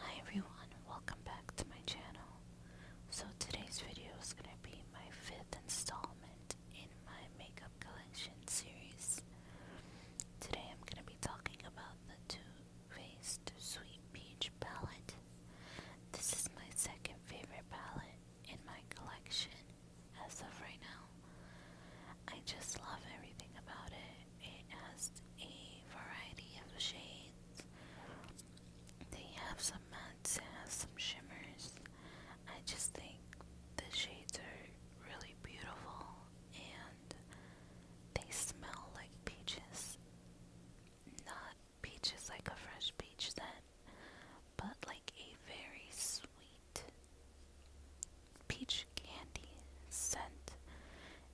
Hi everyone, welcome back to my channel. So today's video is going to be my fifth installment in my makeup collection series. Today I'm going to be talking about the Two Faced Sweet Peach palette. This is my second favorite palette in my collection as of right now. I just love everything about it it has a variety of shades. They have some mattes, some shimmers. I just think the shades are really beautiful and they smell like peaches. Not peaches like a fresh peach scent, but like a very sweet peach candy scent.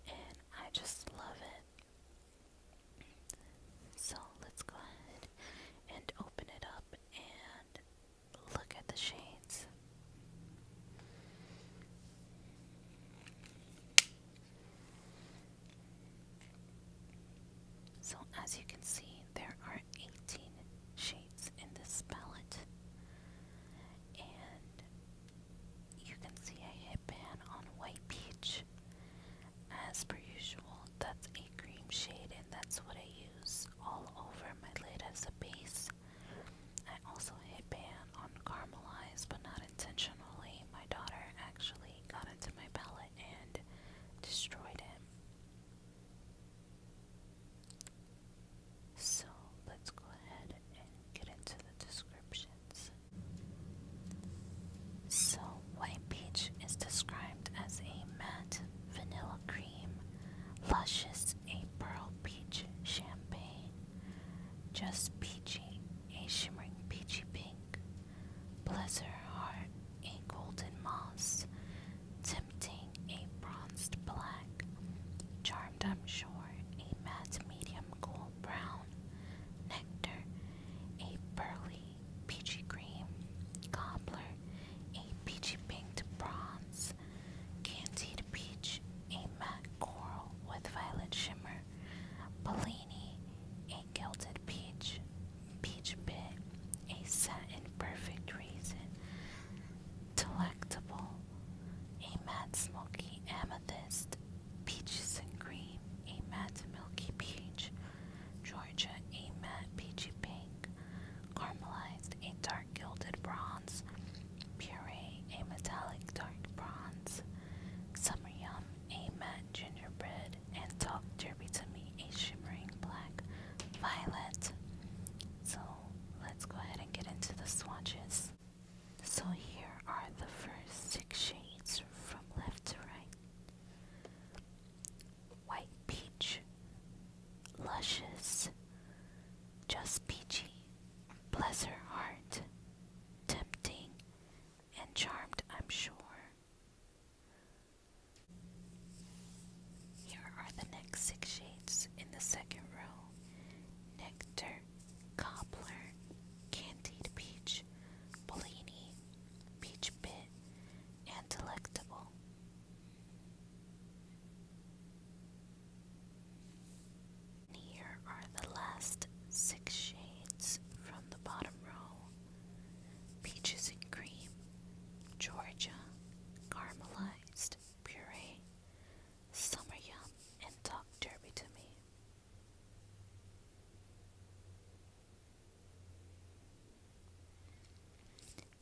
And I just love it. So let's go ahead and open it up and look at the shades. So, as you can see, there are 18 shades in this palette, and you can see a headband on white peach. As per usual, that's a cream shade and that's what I use all over my lid as a base. I also headband on caramelized but not intentionally. My daughter actually got into my palette and destroyed it. So let's go ahead get into the descriptions. So, White Peach is described as a matte vanilla cream, luscious a pearl peach champagne, just peachy a shimmering peachy pink, blizzard heart a golden moss, tempting a bronzed black, charming formed, I'm sure, a matte medium cool brown nectar, a pearly peachy cream, cobbler, a peachy pink to bronze, candied peach, a matte coral with violet shimmer, Bellini, a gilded peach, peach bit, a satin perfect reason, delectable, a matte smoky amethyst, Peaches and cream, a matte milky peach. Georgia, a matte peachy pink. Caramelized, a dark gilded bronze. Puree, a metallic dark bronze. Summer yum, a matte gingerbread. And talk derby to me, a shimmering black violet. So let's go ahead and get into the swatches. So here are the first six shades from left to right. White peach, luscious, just peachy, bless her heart, tempting, and charmed, I'm sure. Here are the next six shades in the second row Nectar, cobbler, candied peach, Bellini, peach bit, and delectable. here are the last six shades from the bottom row peaches and cream, Georgia, caramelized puree, summer yum, and Doc Derby to me.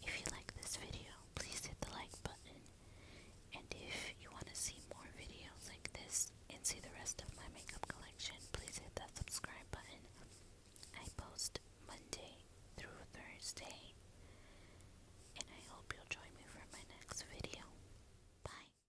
If you like this video, please hit the like button. And if you want to see more videos like this and see the rest of my makeup collection, please hit that subscribe button. I post Monday through Thursday. And I hope you'll join me for my next video. Bye.